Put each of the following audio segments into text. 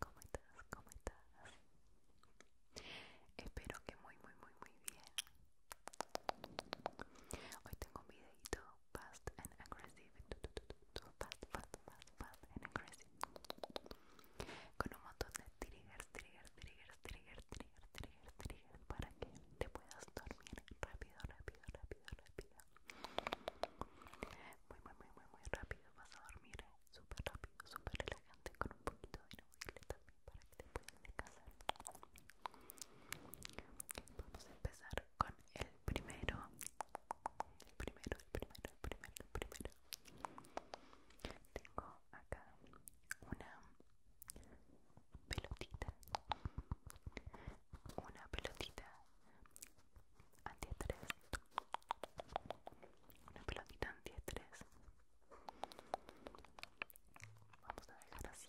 ¿Cómo estás? ¿Cómo estás? Espero que muy, muy, muy, muy bien. Hoy tengo un videito fast and aggressive. Fast, fast, fast, fast and aggressive. Con un montón de triggers, triggers, triggers, triggers, triggers, triggers, para que te puedas dormir rápido, rápido, rápido, rápido. Muy, muy, muy, muy, muy rápido vas a dormir súper rápido, súper relajante con un poquito de inaudible también para que te puedas descansar vamos a empezar con el primero el primero, el primero, el primero, el primero tengo acá una pelotita una pelotita antiestrés una pelotita antiestrés vamos a dejar así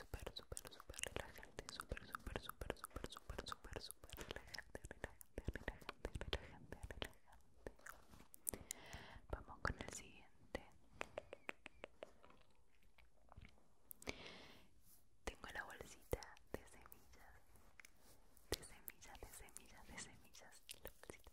Súper, súper, súper relajante, súper, súper, súper, súper, súper, súper, súper relajante, relajante, relajante, relajante, relajante. Vamos con el siguiente. Tengo la bolsita de semillas, de semillas, de semillas, de semillas,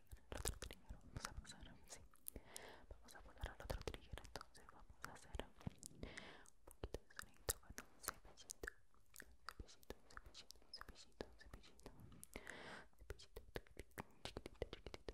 vamos a Vamos a otro trigger, entonces vamos a hacer un poquito de sonido con un cepillito, cepillito, cepillito, cepillito, cepillito, cepillito, chiquitito, chiquitito,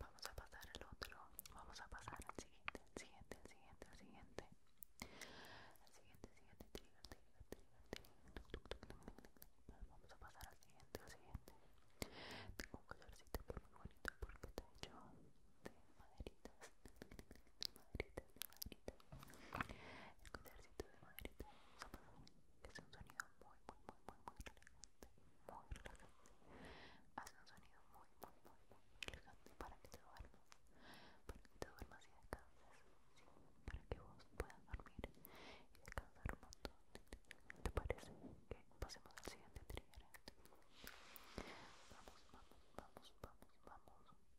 Vamos a pasar al otro. Vamos a pasar al siguiente, al siguiente, siguiente, siguiente. Vamos a pasar al siguiente, al siguiente. Tengo un colorcito muy bonito porque está hecho de maderitas madrita, de madrita. El concierto de madrita es un sonido muy, muy, muy, muy, muy relajante. Muy relajante. Hace un sonido muy, muy, muy, muy relajante para que te duermas. Para que te duermas y descanses. para que vos puedas dormir y descansar un montón. ¿Te parece que pasemos al siguiente trigger? Vamos, vamos, vamos, vamos, vamos.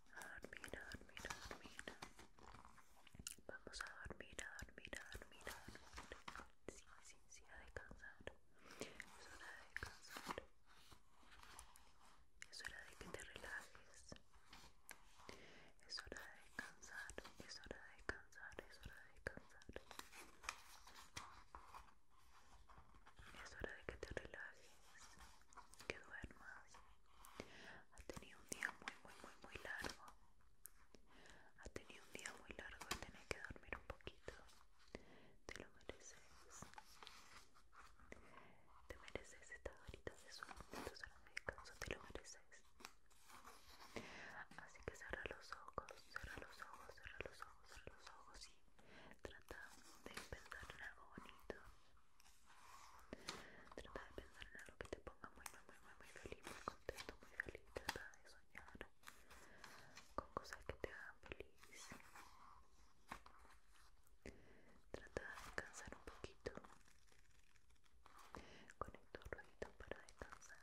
dormir, a dormir, a dormir. Vamos a dormir, a dormir, a dormir, a dormir. Sí, sí, sí, a descansar. Es hora de descansar. Es hora de que te relajes. Es hora de descansar. Es hora de descansar. Es hora de descansar. Es hora de que te relajes, que duermas. Has tenido un día muy, muy, muy, muy largo. Has tenido un día muy largo y tenés que dormir un poquito. Te lo mereces. Te mereces estas horitas de sueño, entonces a de descanso, te lo mereces. Así que cierra los ojos, cierra los ojos, cierra los ojos, los ojos Trata de pensar en algo bonito. Trata de pensar en algo que te ponga muy, muy, muy, muy, feliz, muy contento, muy feliz. Trata de soñar con cosas que te hagan feliz. Trata de descansar un poquito. Con un ruedito para descansar.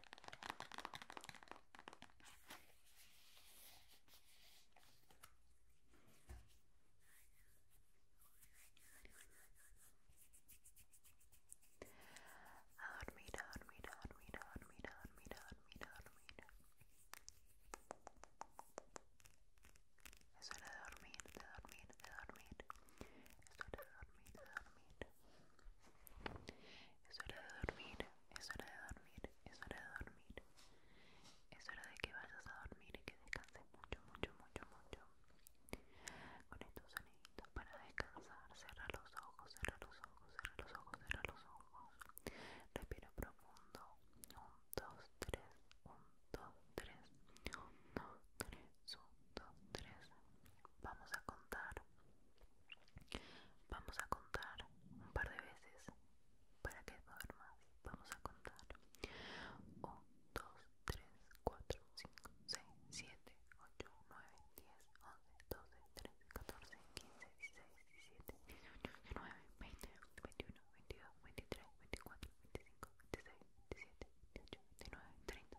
A dormir, a dormir, a dormir, a dormir, a dormir, a dormir, a dormir. Es hora de dormir, de dormir, de dormir. Es hora de dormir, de dormir. Es hora de dormir, es hora de dormir, es hora de dormir. Es hora de que vayas a dormir y que descanses mucho, mucho, mucho, mucho. Con estos soniditos para descansar, cierra los ojos, cierra los ojos, cierra los ojos, cierra los ojos. Respira profundo. 1, 2, 3, 1, 2, 3, 1, 2, Vamos a contar. Vamos a contar un par de veces para que duermas. Vamos a contar 1, 2, 3, 4, 5, 6, 7, 8, 9, 10, 11, 12, 13, 14, 15, 16, 17, 18, 19, 20, 21, 22, 23, 24, 25, 26, 27, 28, 29, 30.